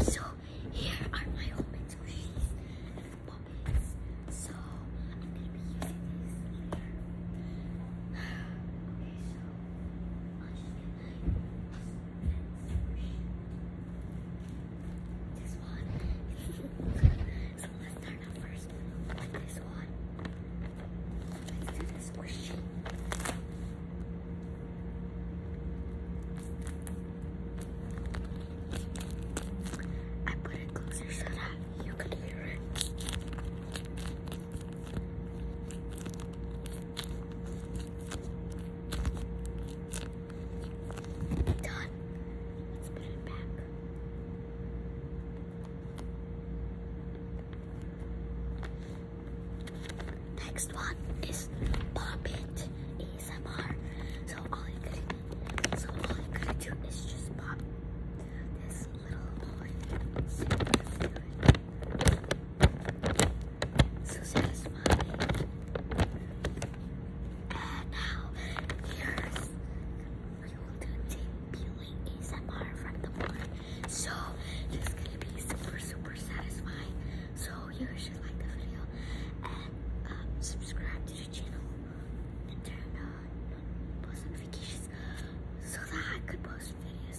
So here are my homemade squishies and the So I'm gonna be using these later. okay, so I'll just get like this one. so let's start out first with this one. squishy. I put it closer so that you could hear it. Done. Let's put it back. Next one is pop it So all you could so gotta do is just pop this little boy. So satisfying. And now, here's we will do tape peeling ASMR from the board. So this is gonna be super, super satisfying. So you should like the video and um, subscribe to the channel and turn on post notifications so that I could post videos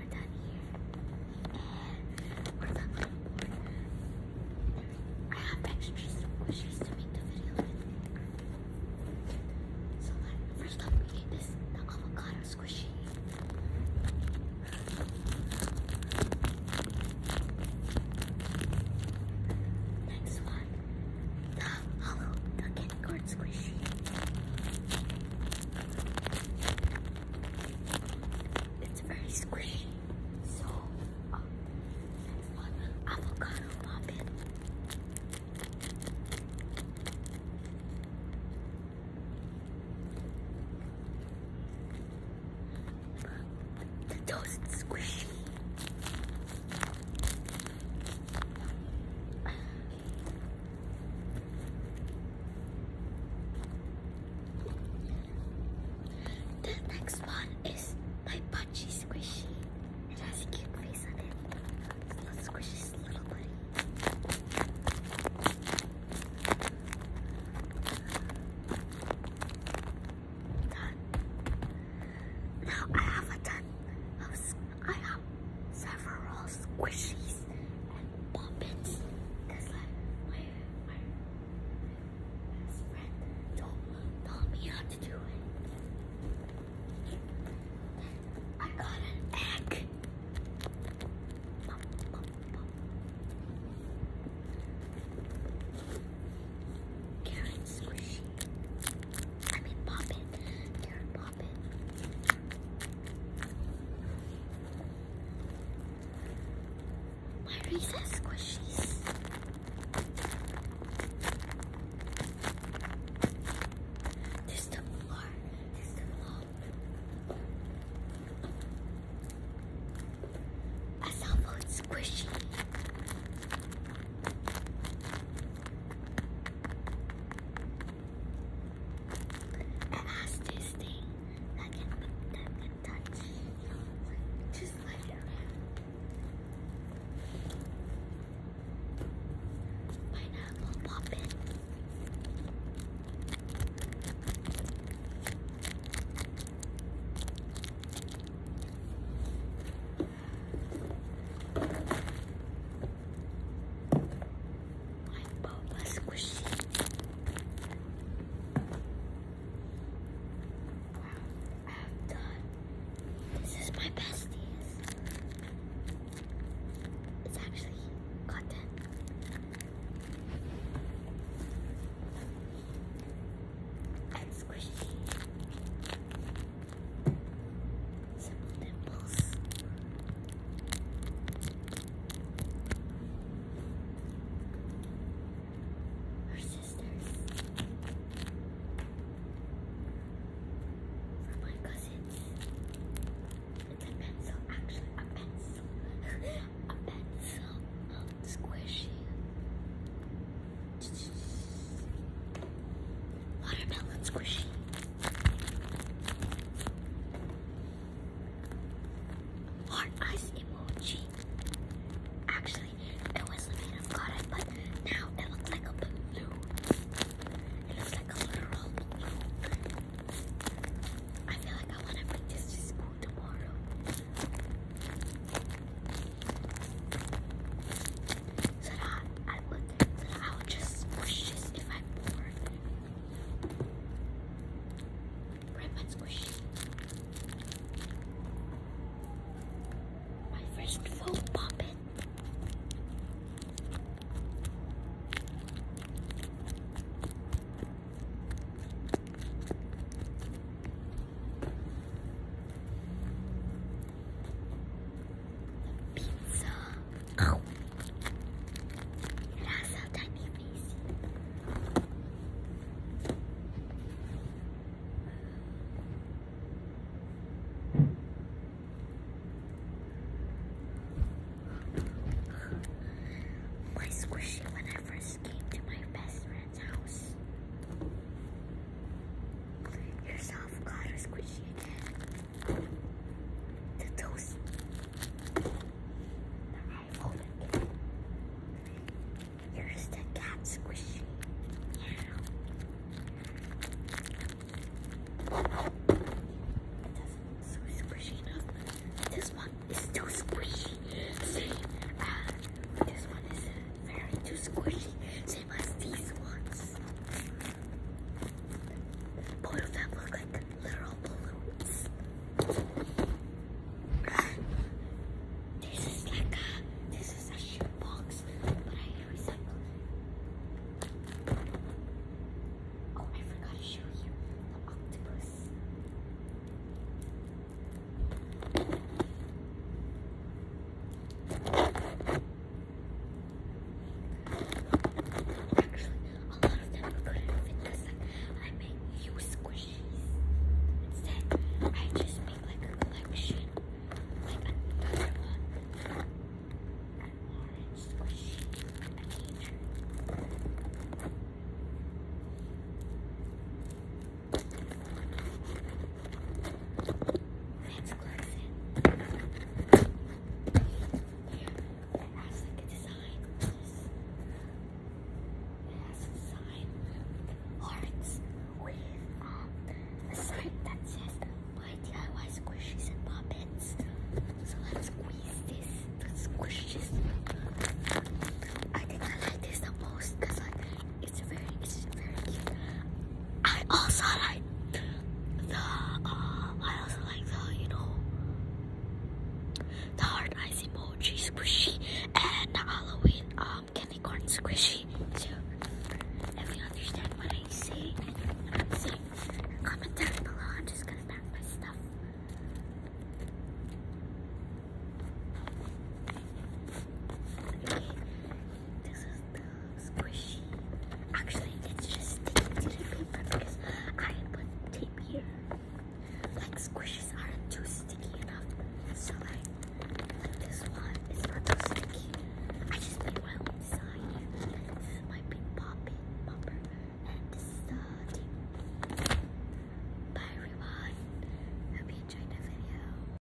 we're done here. we're not I have extra squishies to make the video So like, first up we get this the avocado squishy. Next one, the hollow, the squishy. It's very squishy. So, next um, one, avocado muffin. The toast squishy. The next one is my Punchy Squishy. It has a cute face on it. It's a little squishy it's a little buddy. Done. Now I have a ton of I have several squishies and puppets. Cause my, my best friend told, told me how to do it. I got an egg. Bum, squishy. I mean, pop it. Carrot pop. My recess squishies. There's the floor. There's the floor. I saw squishy. The nastiest thing that can, that can touch Just like around. Pineapple poppin'. My Boba Squishy. I'm done. This is my besties. It's actually cotton. And squishy. Simple dimples. sisters. From my cousins. a pencil, actually a pencil. a pencil. Um, squishy. Watermelon squishy. Heart eyes emoji. Actually, it was made of cotton, but now it looks like a balloon. It looks like a literal balloon. I feel like I want to bring this to school tomorrow. So that I would I'll just squish this if I'm bored. Grab and squish. My first foam puppet. Pizza. My squishy when I first came to my best friend's house. Yourself got a squishy again to toast the iPhone Here's the cat squishy. Yeah. That's so squishy enough. This one is too squishy. See, uh, this one is very too squishy gave these ones. Both of them look like literal balloons. This is like a, this is a shoebox, but I recycle Oh, I forgot to show you the octopus. Actually, a lot of them couldn't fit because I made you squishies. Instead, I just made like a collection, like another one. An orange squishy, that's us close like a design. It a design hearts with um, a sign that says DIY squishies and puppets." So let's squeeze this. Let's squish this. I think I like this the most because like it's very, it's very cute. I also like the, uh, I also like the, you know, the hard ice emoji squishy and the Halloween um, candy corn squishy. So, if you understand what I say, I'm comment down below. I'm just gonna pack my stuff. Okay. This is the squishy. Actually, it's just sticking to the paper because I put tape here. Like squishes aren't too sticky enough. So like, this one is not too sticky. I just made my own design. This is my big popping bumper. And this is the tape. Bye everyone. Hope you enjoyed the video.